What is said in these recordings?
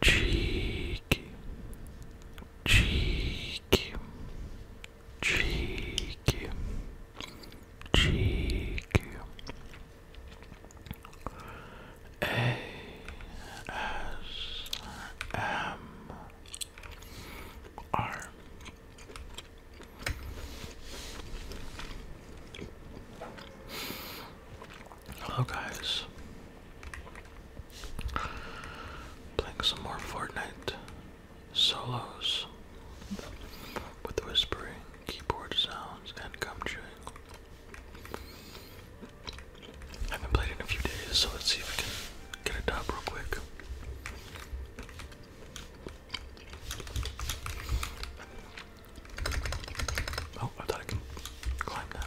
cheek cheek cheek cheek a s m r Hello guys Playing some more Fortnite solos with whispering, keyboard sounds, and gum chewing. I haven't played in a few days, so let's see if we can get it up real quick. Oh, I thought I can climb that.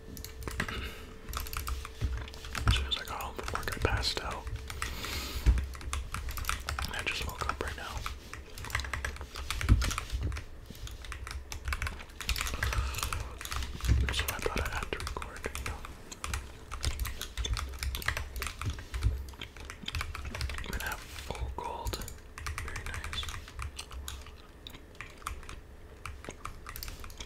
As soon as I got home from I just woke up right now. So I thought I had to record, I'm gonna have old gold. Very nice.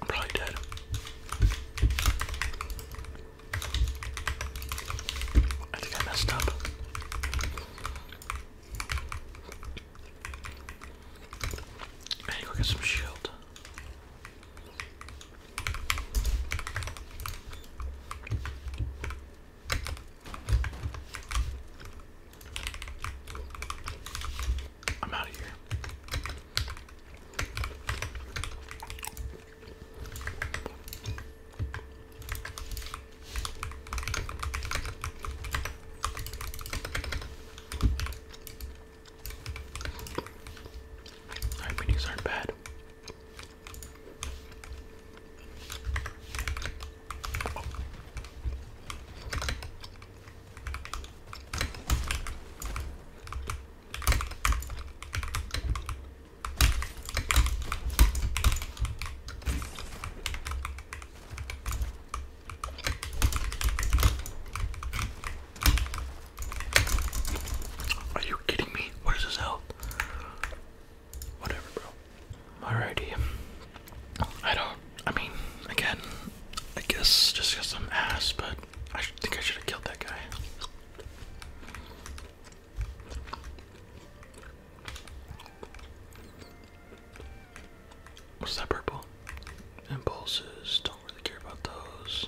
i probably dead. I think I messed up. I need to go get some shield. I'm out of here. I mean, these aren't bad. Are you kidding me? What is this help? Whatever, bro. Alrighty. I don't. I mean, again, I guess just because ass, but I think I should have killed that guy. What's that purple? Impulses, don't really care about those.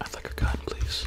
I'd like a gun, please.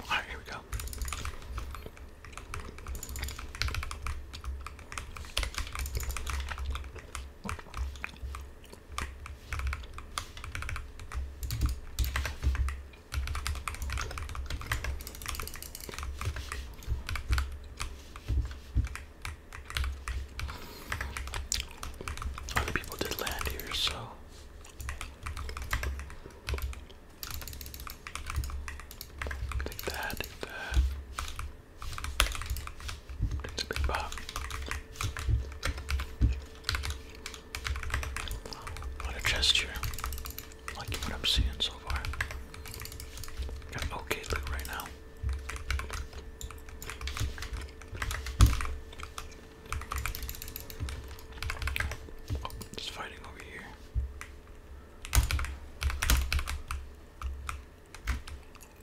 All right, here we go. Other people did land here, so. Take that, take that. It's a big pop. What a chest here. Like what I'm seeing so far. Got okay loot right now. just fighting over here.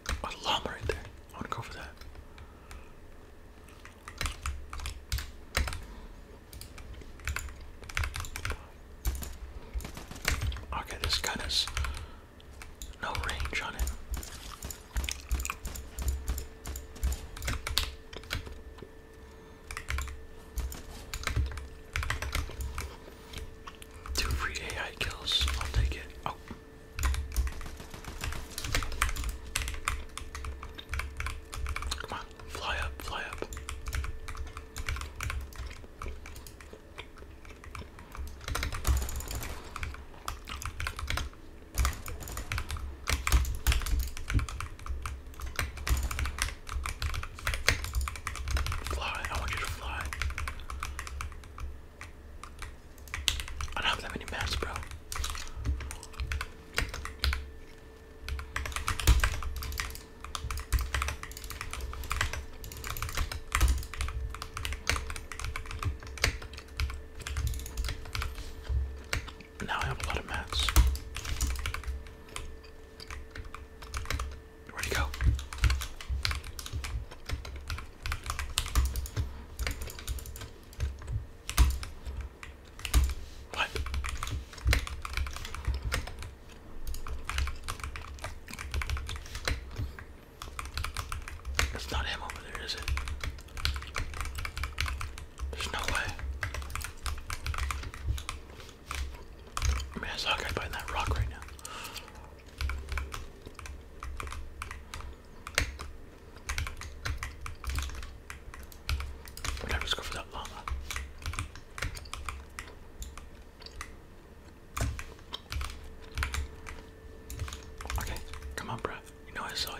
a oh, llama right there. I want to go for that. Okay, this gun has no range on it. Two free AI kills, I'll take it. Oh. Come on, fly up, fly up. Fly, I want you to fly. I don't have that many mats, bro. Now I have a lot of mats. Where'd he go? What? It's not him over there, is it? There's no way. I mean, I saw a guy biting that rock right now. Whatever, let's go for that llama. Okay, come on, bruv. You know I saw you.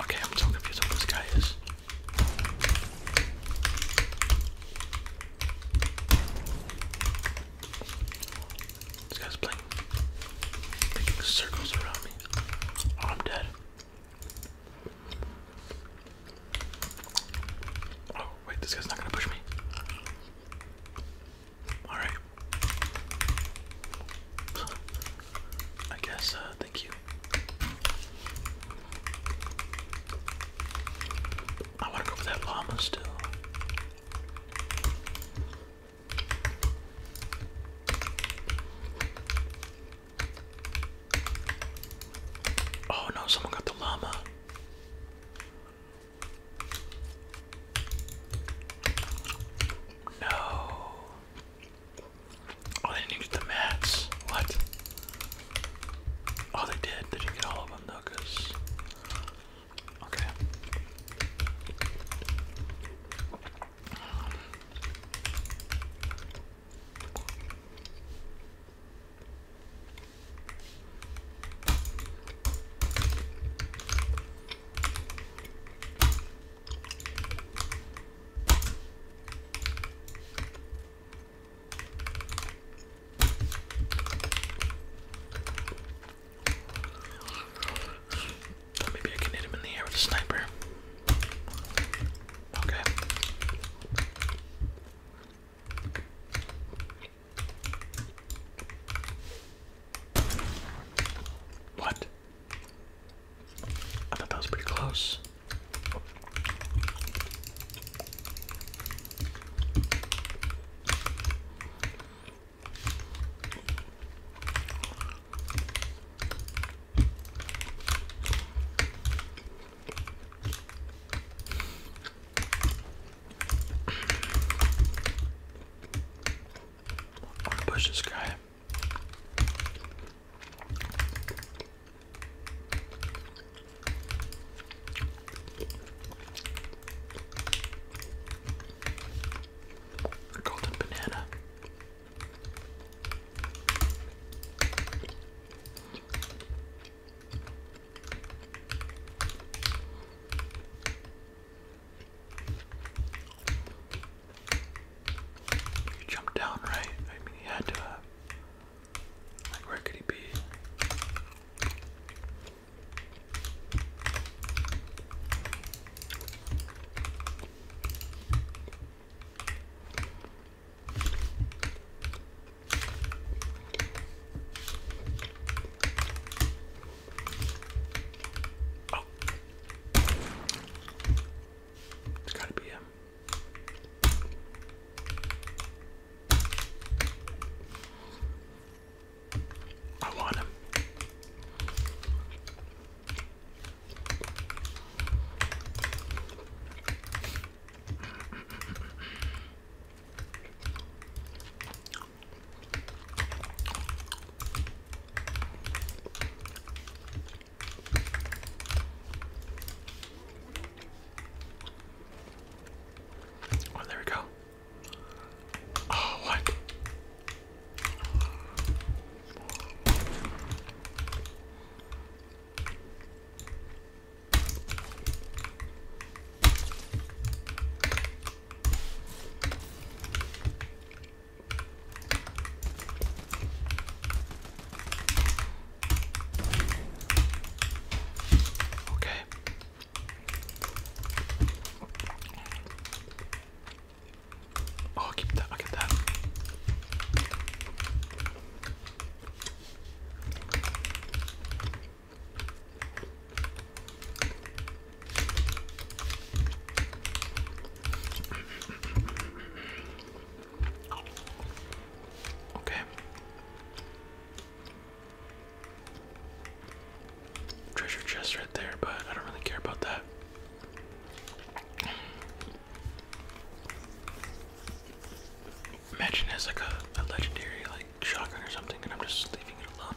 Okay, I'm so confused what this guy is. This guy's playing circles around me. Oh, I'm dead. Oh, wait, this guy's not gonna push me. Alright. I guess, uh, thank you. I want to go for that llama still. Oh no, someone got the llama. No. Oh, didn't get the mats. What? Oh, they did. didn't get all of them though, Okay. Oh, maybe I can hit him in the air with a sniper. Okay. What? I thought that was pretty close. push this guy. Golden banana. He jumped down, right? I mean, he had to. Uh, like, where could he be? Oh, it's gotta be him. I want him. Oh, there we go. Oh, what? Okay. Oh, keep that. i that. Okay. Treasure chest right there, but I don't really care about that. Imagine it like a legendary like shotgun or something, and I'm just leaving it alone.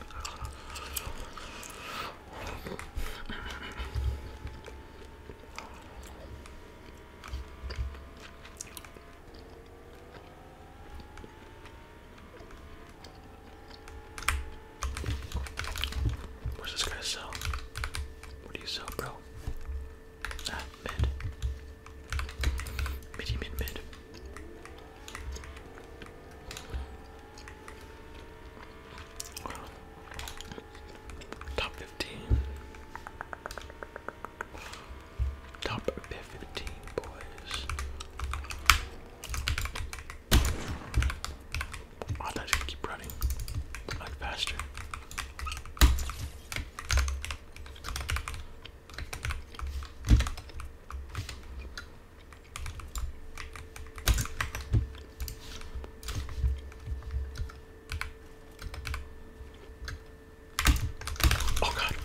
What's this guy sell? What do you sell, bro? Ah, mid. mid mid. Top fifteen. Top fifteen boys. Oh, I thought keep running like faster. Oh god.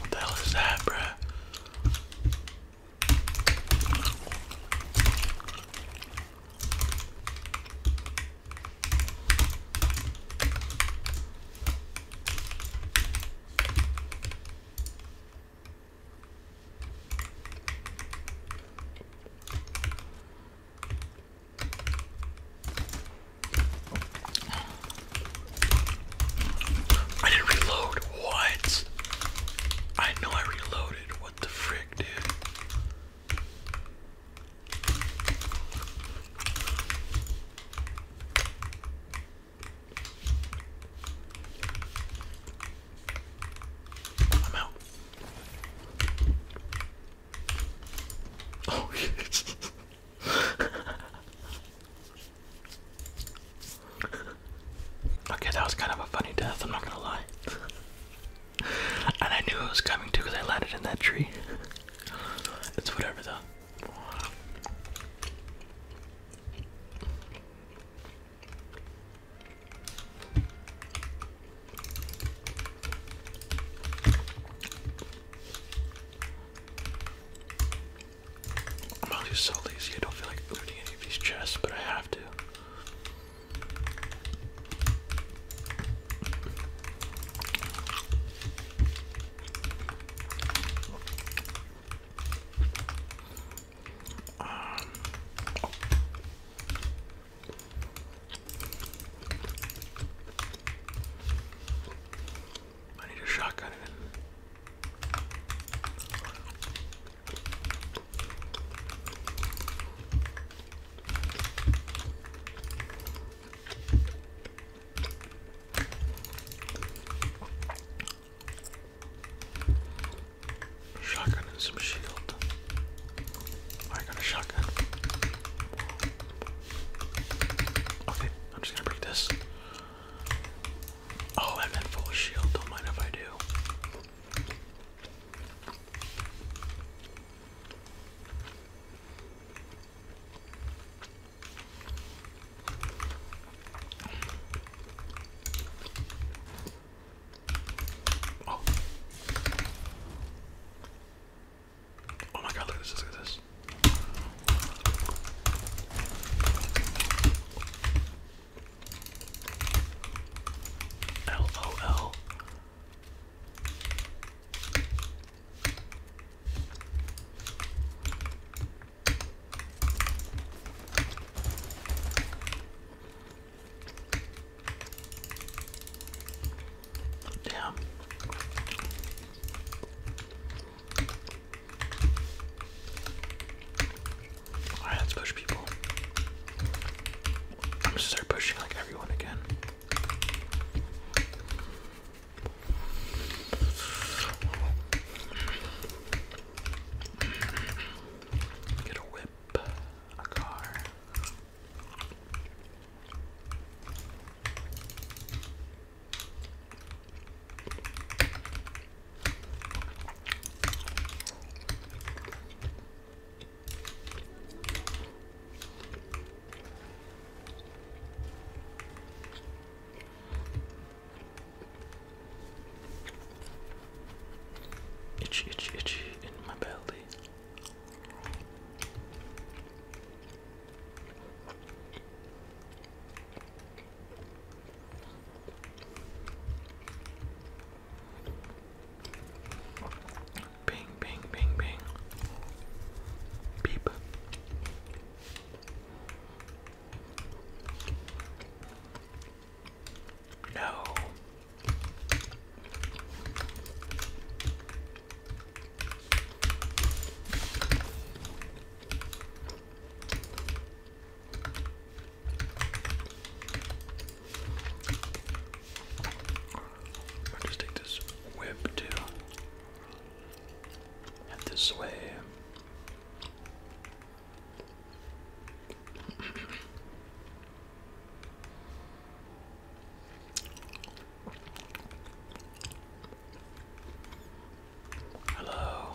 What the hell is that, bruh? I didn't reload. What? I know I reloaded what the frick, dude? I'm out. Oh, yes. okay, that was kind of a funny death, I'm not gonna lie. and I knew it was coming too because I landed in that tree. it's whatever though. I'm actually so lazy I don't feel like looting any of these chests, but I have to. I need a shotgun Shotgun and some shield. I got a shotgun. Okay, I'm just gonna break this. Oh, I'm in full shield. Don't mind if I do. Oh. Oh my god, look at this, look at this. LOL. Damn let's push people. I'm just start pushing like everyone again. Get a whip, a car. Itchy, itchy, itchy in my belly. Ping! Ping! Ping! Ping! Beep. No i just take this whip too. this way. Hello.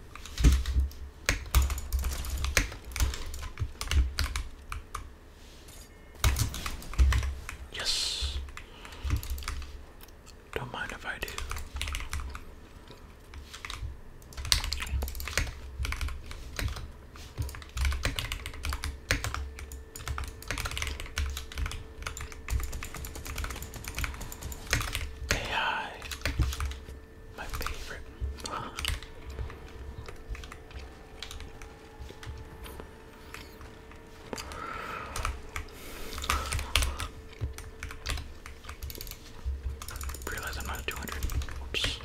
Yes. Don't mind if I do. AI. My favorite. Realize I'm not at 200. Whoops.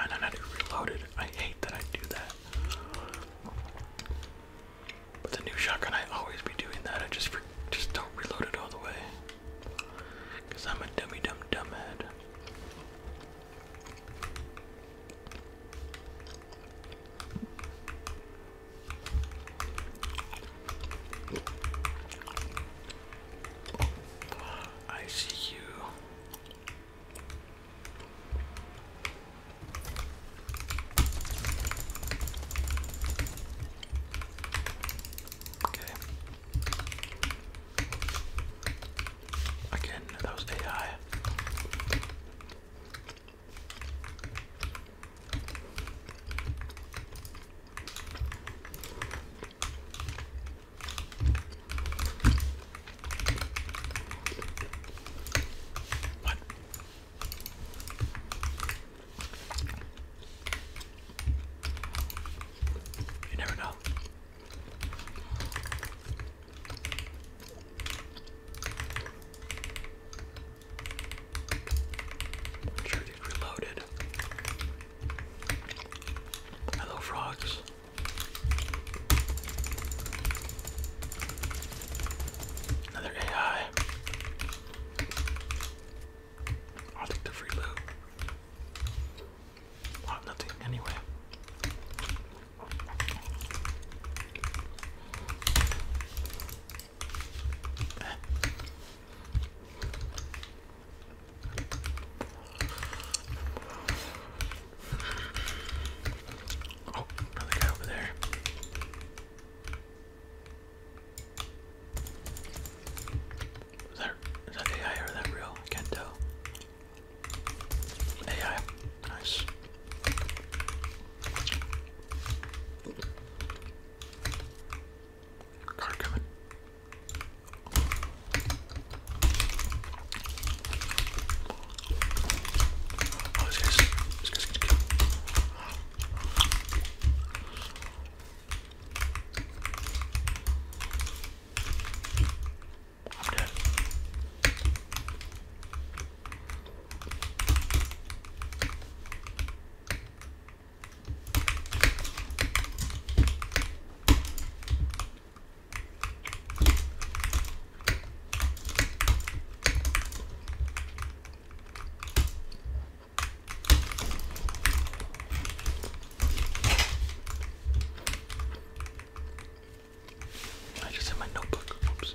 And then I do reload I hate that I do that. But the new shotgun, I always be doing that. I just just don't reload it all the way. Because I'm a dummy dumb dumbhead. I see you. Okay. Again, that was AI you never know. reloaded. Hello, frogs. Another AI. I'll take the free loot. nothing anyway. Oh, another guy over there. Is that, is that AI or that real? can't tell. AI. Nice. Card coming. Oh, this guy's, this guy's gonna kill. I'm dead. I just have my notebook. Oops.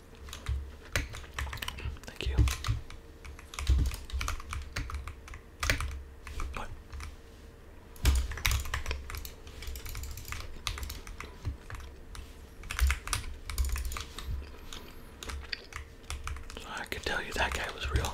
Thank you. What? I could tell you that guy was real.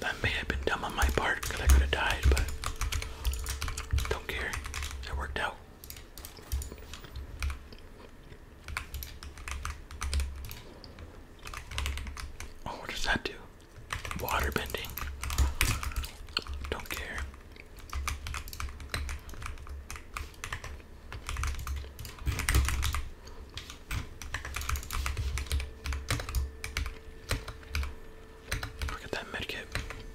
That may have been dumb on my part I could have died, but don't care. It worked out. Oh, what does that do? Water bending. Don't care. Look at that medkit.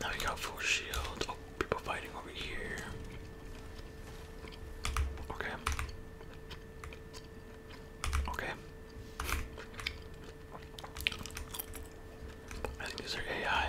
Now we got full shield. Oh, people fighting over here. Okay. Okay. I think these are AI.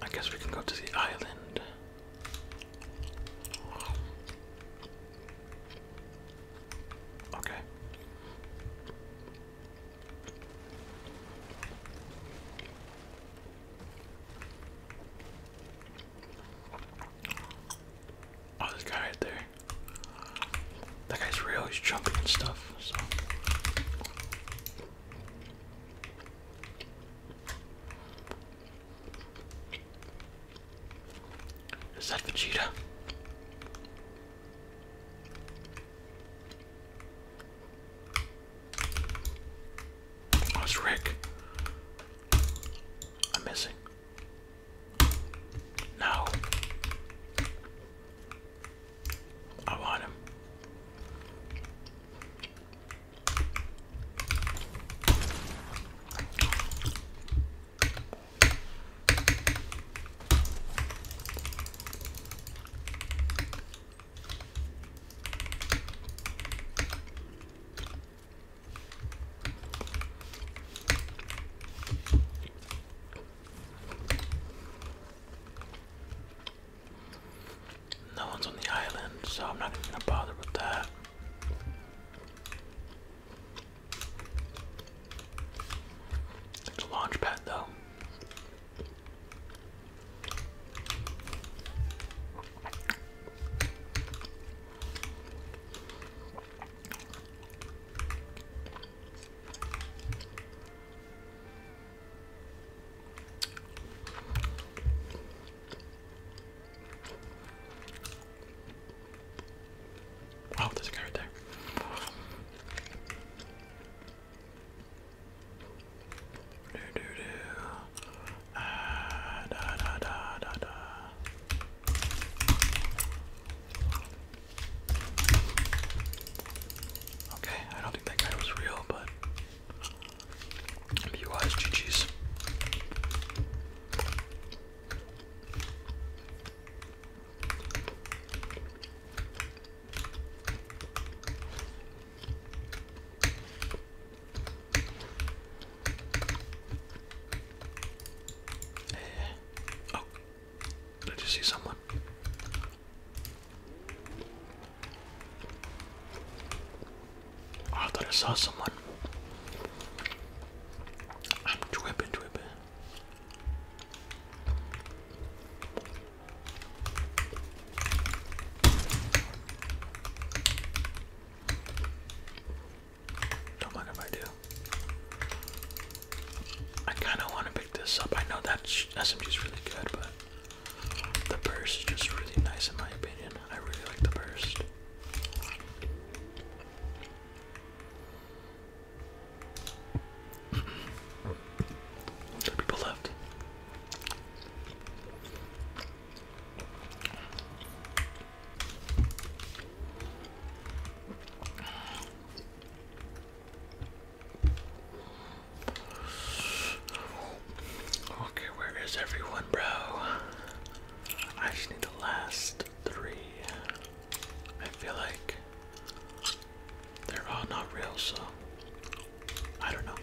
I guess we can go to the island. Okay. Oh, this guy right there. That guy's real, he's jumping and stuff, Is that Vegeta? Oh, it's Rick. I'm missing. No. I want him. No one's on the island, so I'm not even gonna bother with that. It's a launch though. Wow, oh, there's a guy right there. Do do do. Ah, da da da da da. Okay, I don't think that guy was real, but be eh, Oh, did you see someone? Oh, I thought I saw someone. I'm Don't mind if I do. I kind of want to pick this up. I know that SMG is really good, but the burst is just really nice in my opinion. I really like the burst. Two people left. Okay, where is everyone, bro? I just need the last three. I feel like they're all not real, so I don't know.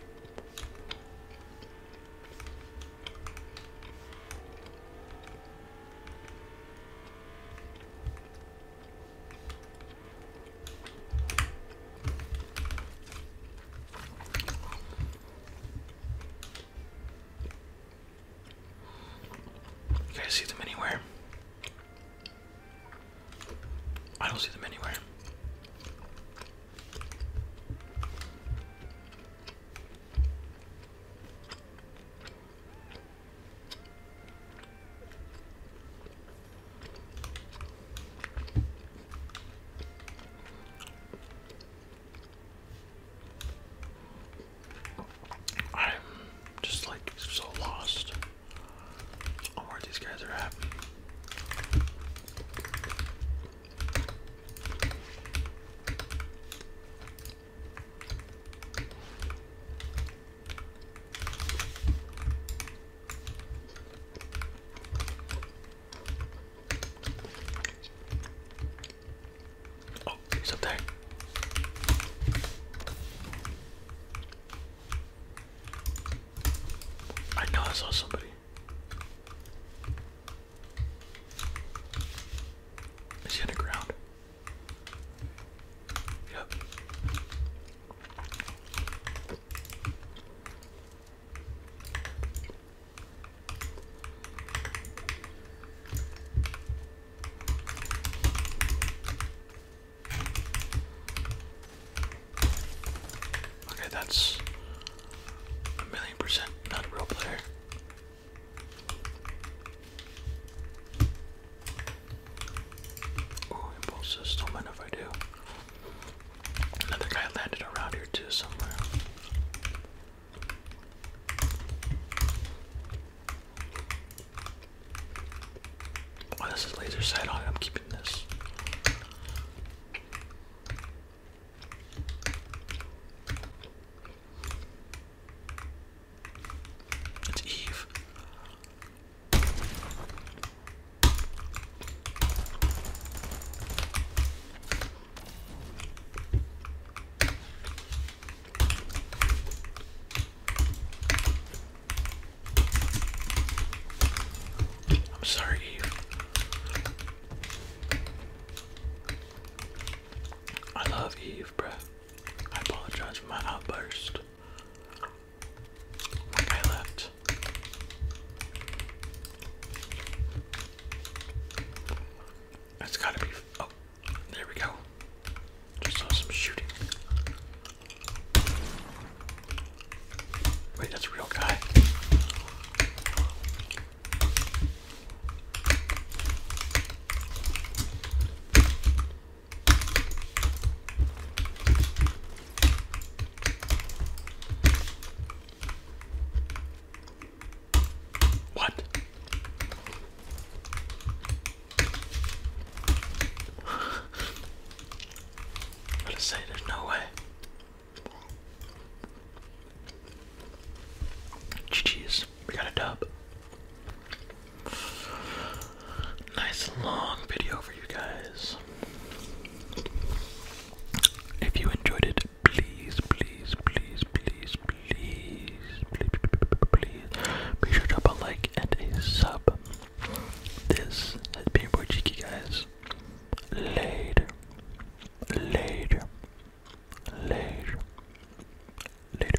You guys see them anywhere? I don't see them anywhere. I'm just like so lost on where these guys are at. Oh, he's up there. I know I saw somebody. Is he underground? Yep. Okay, that's a million percent not a real player. Ooh, impulse system, and if I do. Another guy landed around here too somewhere. Oh, this is laser sight on it. I'm keeping this. It's Eve. I'm sorry, Eve. I love Eve, bruh. I apologize for my outburst left. left. That's gotta be. Oh, there we go. Just saw some shooting. Wait, that's a real guy. What? I just say there's no way. GG's. We got a dub. Nice long video for you guys. If you enjoyed it, please, please, please, please, please, please, please, be sure to drop a like and a sub. This has been your Cheeky, guys. Later. Later. Later. Later.